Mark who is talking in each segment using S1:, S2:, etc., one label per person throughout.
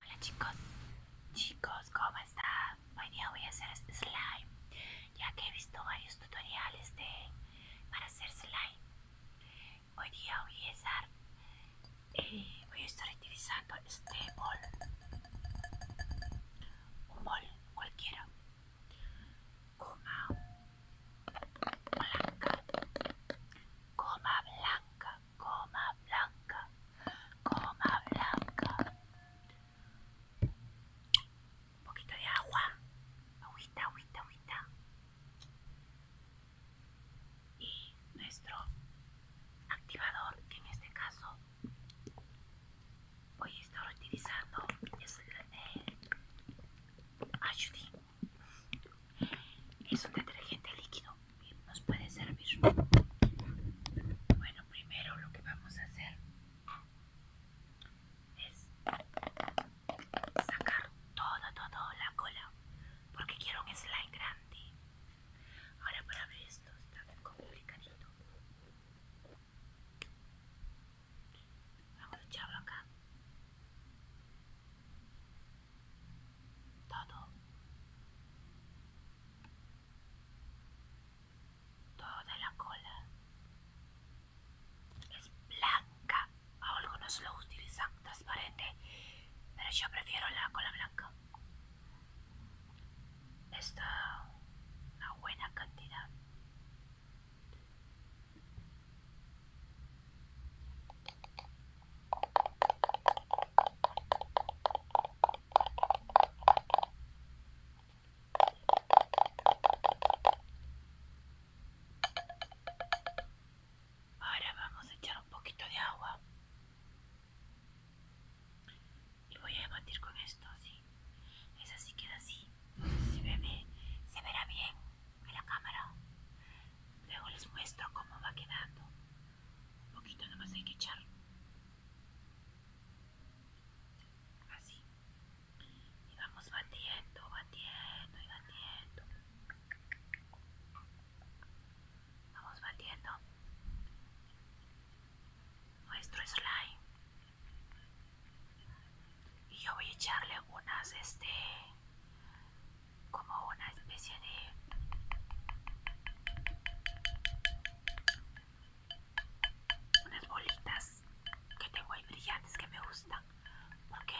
S1: Hola chicos, chicos, ¿cómo está? Hoy día voy a hacer slime, ya que he visto varios tutoriales de para hacer slime. Hoy día voy a estar, eh, voy a estar utilizando este bol, un bol cualquiera, coma blanca, coma blanca, coma blanca, coma blanca. Un poquito de agua, agüita, agüita, agüita. Y nuestro activador, en este caso voy a estar utilizando, es el ayudín es un detergente líquido y nos puede servir. Bueno, primero lo que vamos a hacer es sacar toda, toda la cola porque quiero un slime grande. Ahora para ver esto está complicadito. Vamos a echarlo acá todo, toda la cola es blanca, algunos lo utilizan transparente, pero yo prefiero la cola blanca. Está una buena cantidad. Ahora vamos a echar un poquito de agua y voy a batir con esto, así. Es así, queda así. Se, ve, se verá bien en la cámara. Luego les muestro cómo va quedando. Un poquito más hay que echar. Así. Y vamos batiendo, batiendo y batiendo. Vamos batiendo nuestro slime. Y yo voy a echarle unas, este, como una especie de unas bolitas que tengo ahí brillantes que me gustan porque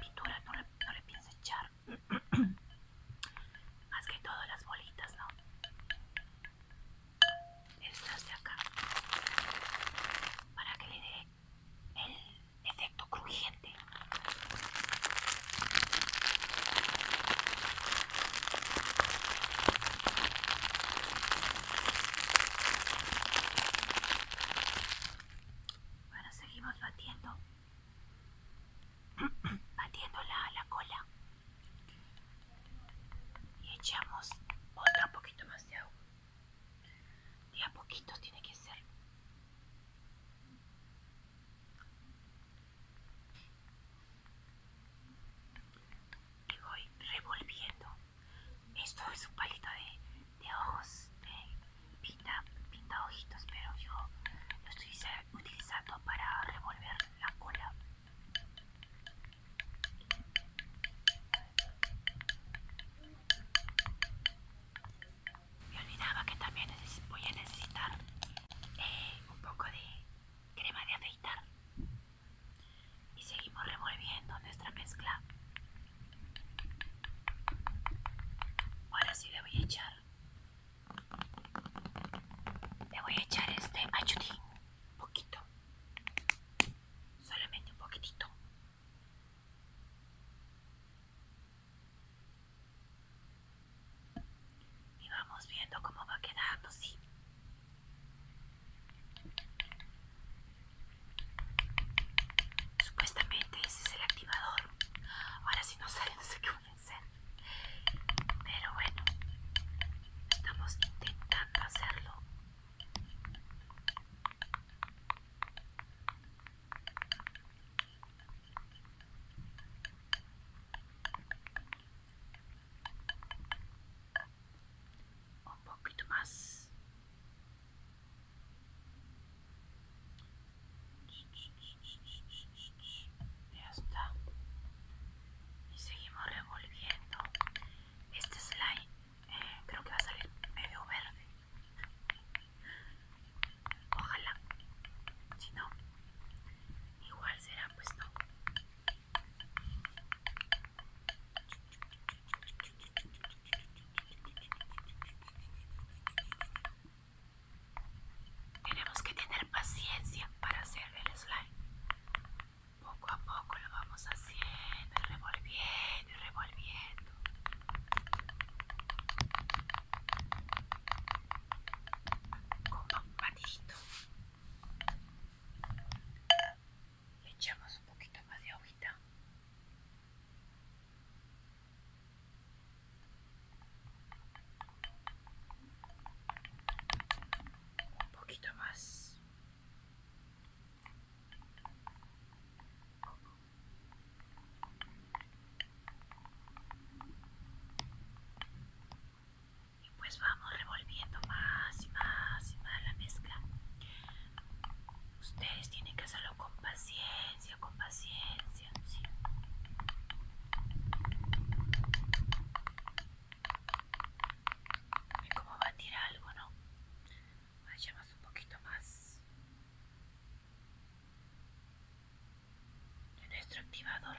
S1: pintura no le, pienso echar más que todo las bolitas no estas de acá para que le dé el efecto crujiente. Bueno, seguimos batiendo. batiendo la, la cola. Y echamos otro poquito más de agua. De a poquitos tiene que ser y voy revolviendo esto es un palito de, ojos de pinta ojitos pero yo lo estoy utilizando para revolver la cola me olvidaba que también voy a necesitar eh, un poco de crema de afeitar y seguimos revolviendo nuestra mezcla ahora sí le voy a echar le voy a echar este machutín un poquito solamente un poquitito y vamos viendo cómo va quedando, sí. Supuestamente ese es el activador. Ahora si no sale no sé qué voy a hacer. Pero bueno, estamos intentando hacerlo un poquito más ya está y seguimos revolviendo este slime eh, creo que va a salir medio verde Ojalá. Si no, igual será pues no. Tenemos que tener paciencia para hacer el slime. Poco a poco lo vamos haciendo, revolviendo y revolviendo como echamos un poquito más de agua, un poquito más y pues vamos revolviendo más y más y más la mezcla. Ustedes tienen que hacerlo con paciencia, con paciencia. ¿sí? a tirar algo, ¿no? más un poquito más nuestro activador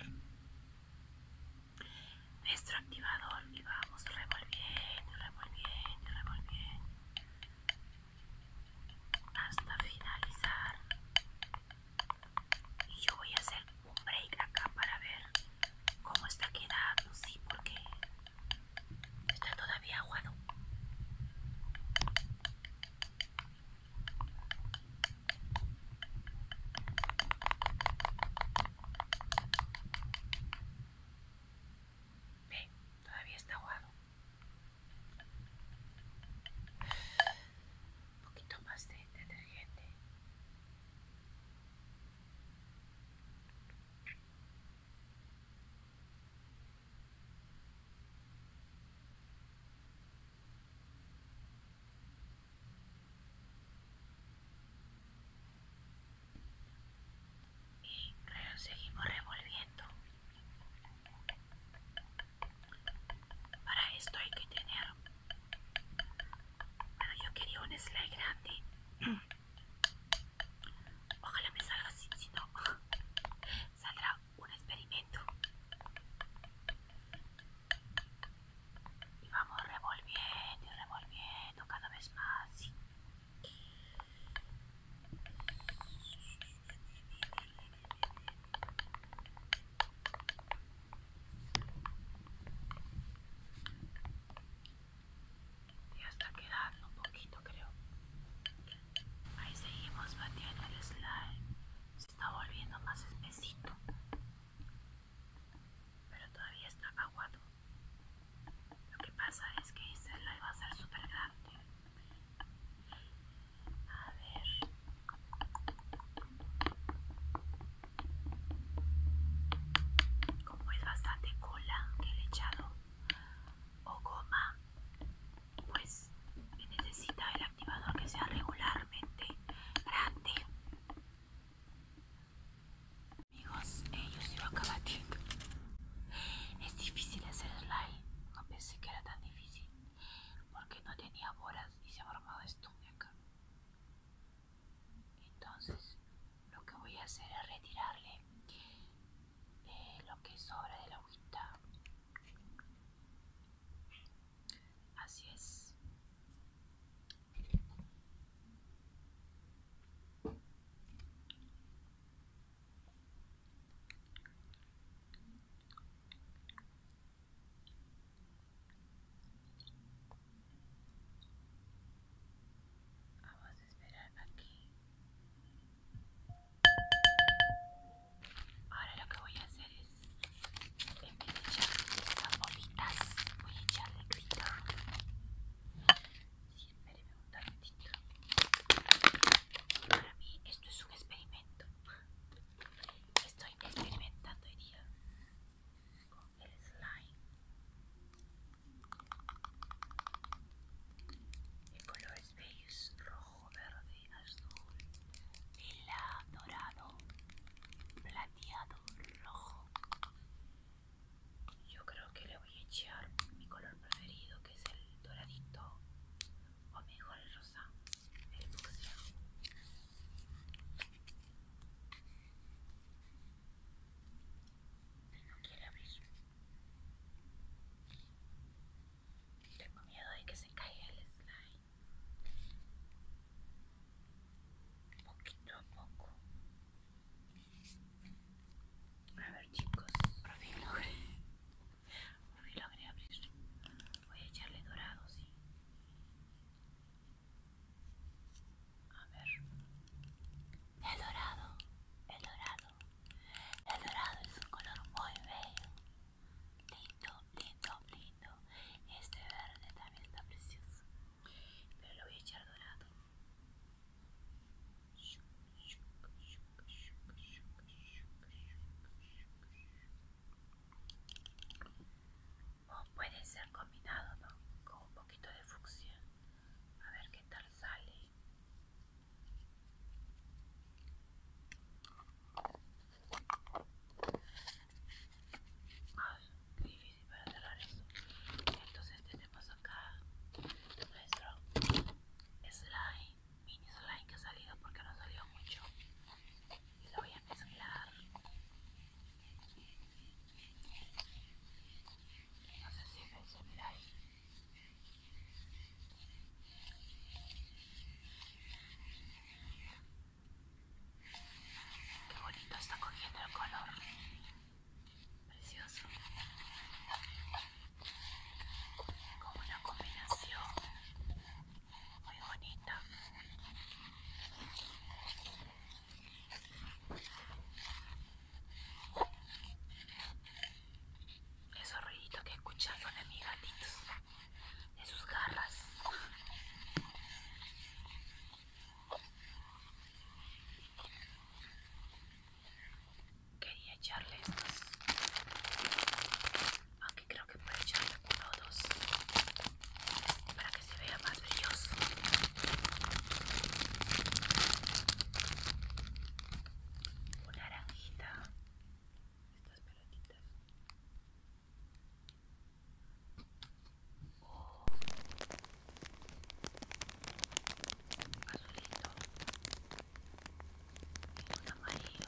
S1: nuestro activador y vamos revolviendo revolviendo revolviendo hasta finalizar y yo voy a hacer un break acá para ver cómo está quedando sí porque Está todavía aguado. Ve, todavía está aguado. Un poquito más de detergente y seguimos revolviendo para esto hay que tener bueno yo quería un slide grande Ojalá me salga así, si no, saldrá un experimento. Y vamos revolviendo y revolviendo cada vez más. Ya hasta quedando un poquito creo ahí seguimos batiendo el slime se está volviendo más espesito pero todavía está aguado lo que pasa es que este slide va a ser súper grande a ver como es bastante cola que le he echado o goma pues necesita el activador que sea regularmente grande amigos ellos yo sigo acá es difícil hacer slime no pensé que era tan difícil porque no tenía bolas y se ha formado esto acá entonces lo que voy a hacer es retirarle lo que sobra de la agüita así es Vamos a esperar aquí. Ahora lo que voy a hacer es, en vez de echar estas bobitas, voy a echarle grito. me gusta un ratito. Para mí esto es un experimento. Estoy experimentando hoy día con el slime color es beige, rojo, verde, azul, vela, dorado, plateado, rojo. Yo creo que le voy a echar mi color preferido que es el doradito o mejor el rosa, el boxeo no quiere abrir. Tengo miedo de que se caiga el slime. Poquito a poco. A ver chicos, por fin logré. Por fin logré abrir. Voy a echarle dorado, sí. A ver. El dorado, el dorado. El dorado es un color muy bello. Lindo, lindo, lindo. Este verde también está precioso. Pero lo voy a echar dorado o oh, puede ser combinado con un poquito de fucsia a ver qué tal sale Ay, difícil para cerrar eso entonces tenemos acá nuestro slime mini slime que ha salido porque no salió mucho y lo voy a mezclar no sé si me Qué bonito está cogiendo el color. Precioso. Como una combinación muy bonita. Esos ruiditos que escucharon de mis gatitos, de sus garras. Quería echarle estos, Aquí creo que puedo echarle uno o dos para que se vea más brilloso una naranjita estas pelotitas oh. azulito y un amarillo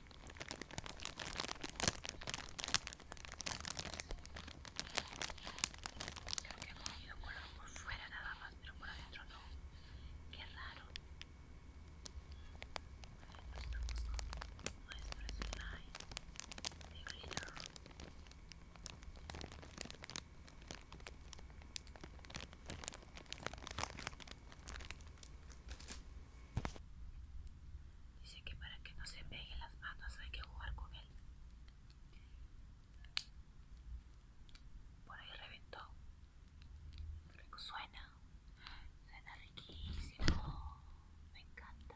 S1: Creo que ha comido color por fuera nada más, pero por adentro no. Qué raro. Nuestro slime de glitter. Dice que para que no se peguen las manos hay que jugar con él. Por ahí reventó. Suena. Suena riquísimo. Me encanta.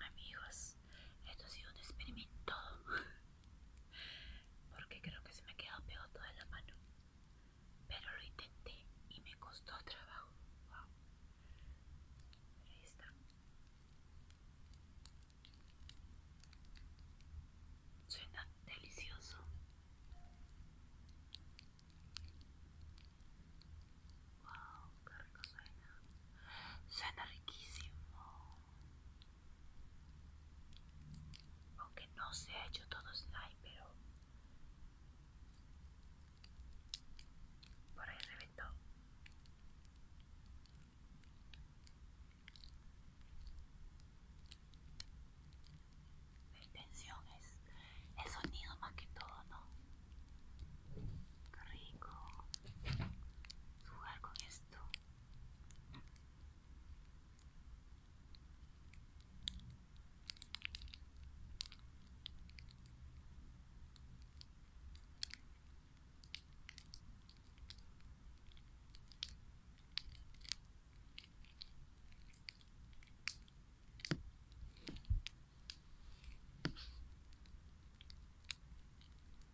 S1: Amigos, esto ha sido un experimento porque creo que se me ha quedado pegado toda la mano, pero lo intenté y me costó trabajo. ahí está. Suena delicioso. Wow, qué suena. riquísimo. Aunque no se ha hecho todo slime, pero por ahí reventó. La intención es el sonido más que todo, ¿no? rico jugar con esto.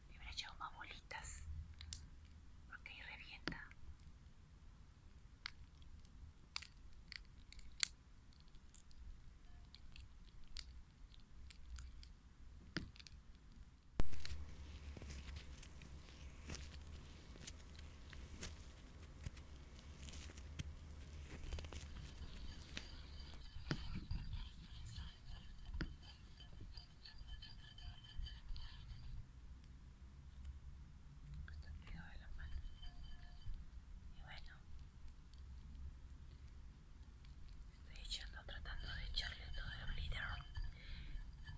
S1: Me habrá echado más bolitas. Porque ahí revienta. Y bueno, Estoy echando, tratando de echarle todo el glitter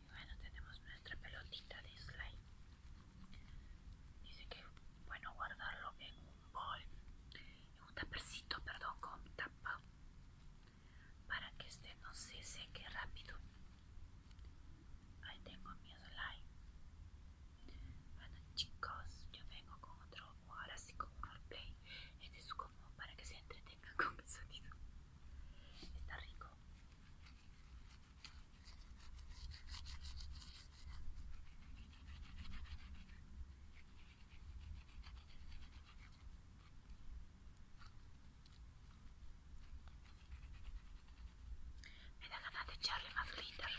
S1: Y bueno, tenemos nuestra pelotita de slime. Dice que bueno guardarlo en un bol, en un tapercito, perdón, con tapa, para que este no se seque rápido. Ahí tengo mi slime. Bueno chicos, yo vengo con otro, ahora sí con un roleplay. Este es como para que se entretengan tenga con pezzolino está rico me da ganas de echarle más glitter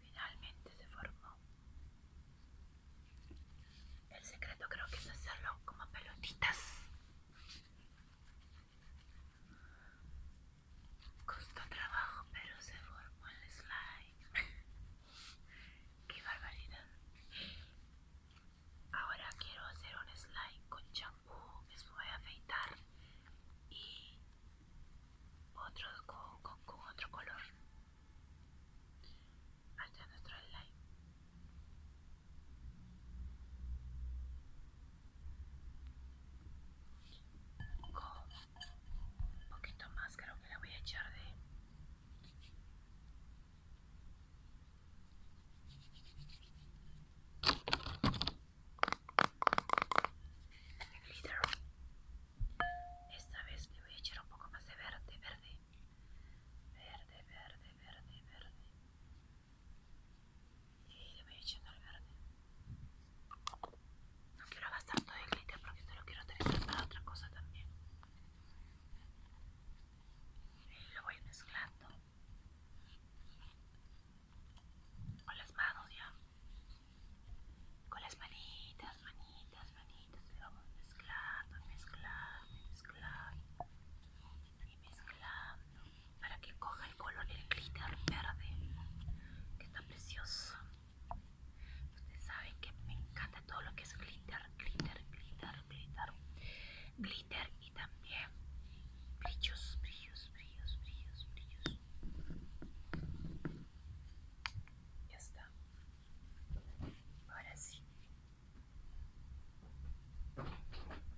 S1: Finalmente se formó. El secreto creo que es hacerlo como pelotitas. Costó trabajo, pero se formó el slime. ¡Qué barbaridad! Ahora quiero hacer un slime con champú que se voy a afeitar y otro con, otro color hacia nuestro con un poquito más creo que le voy a echar de esta vez le voy a echar un poco más de verde verde verde verde verde verde y le voy echando el verde no quiero gastar todo el glitter porque esto lo quiero utilizar para otra cosa también y lo voy mezclando con las manos ya. Con las manitas, manitas, manitas. Le vamos mezclando, mezclando, mezclando. Y mezclando. Para que coja el color el glitter verde. Que está precioso. Ustedes saben que me encanta todo lo que es glitter, glitter, glitter, glitter glitter y también brillos, brillos, brillos, brillos, brillos. Ya está. Ahora sí.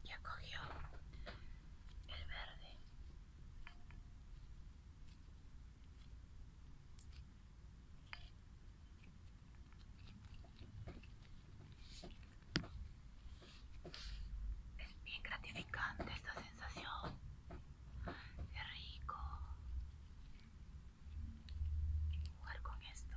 S1: Ya cogió el verde es bien gratificante esta sensación. Es rico jugar con esto.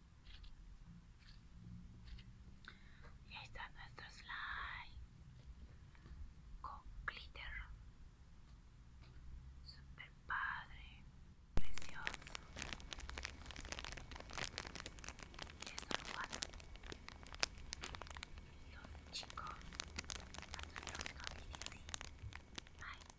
S1: Y ahí está nuestro slime con glitter. Super padre, precioso. Y eso lo un los chicos. Hasta el próximo video. Bye.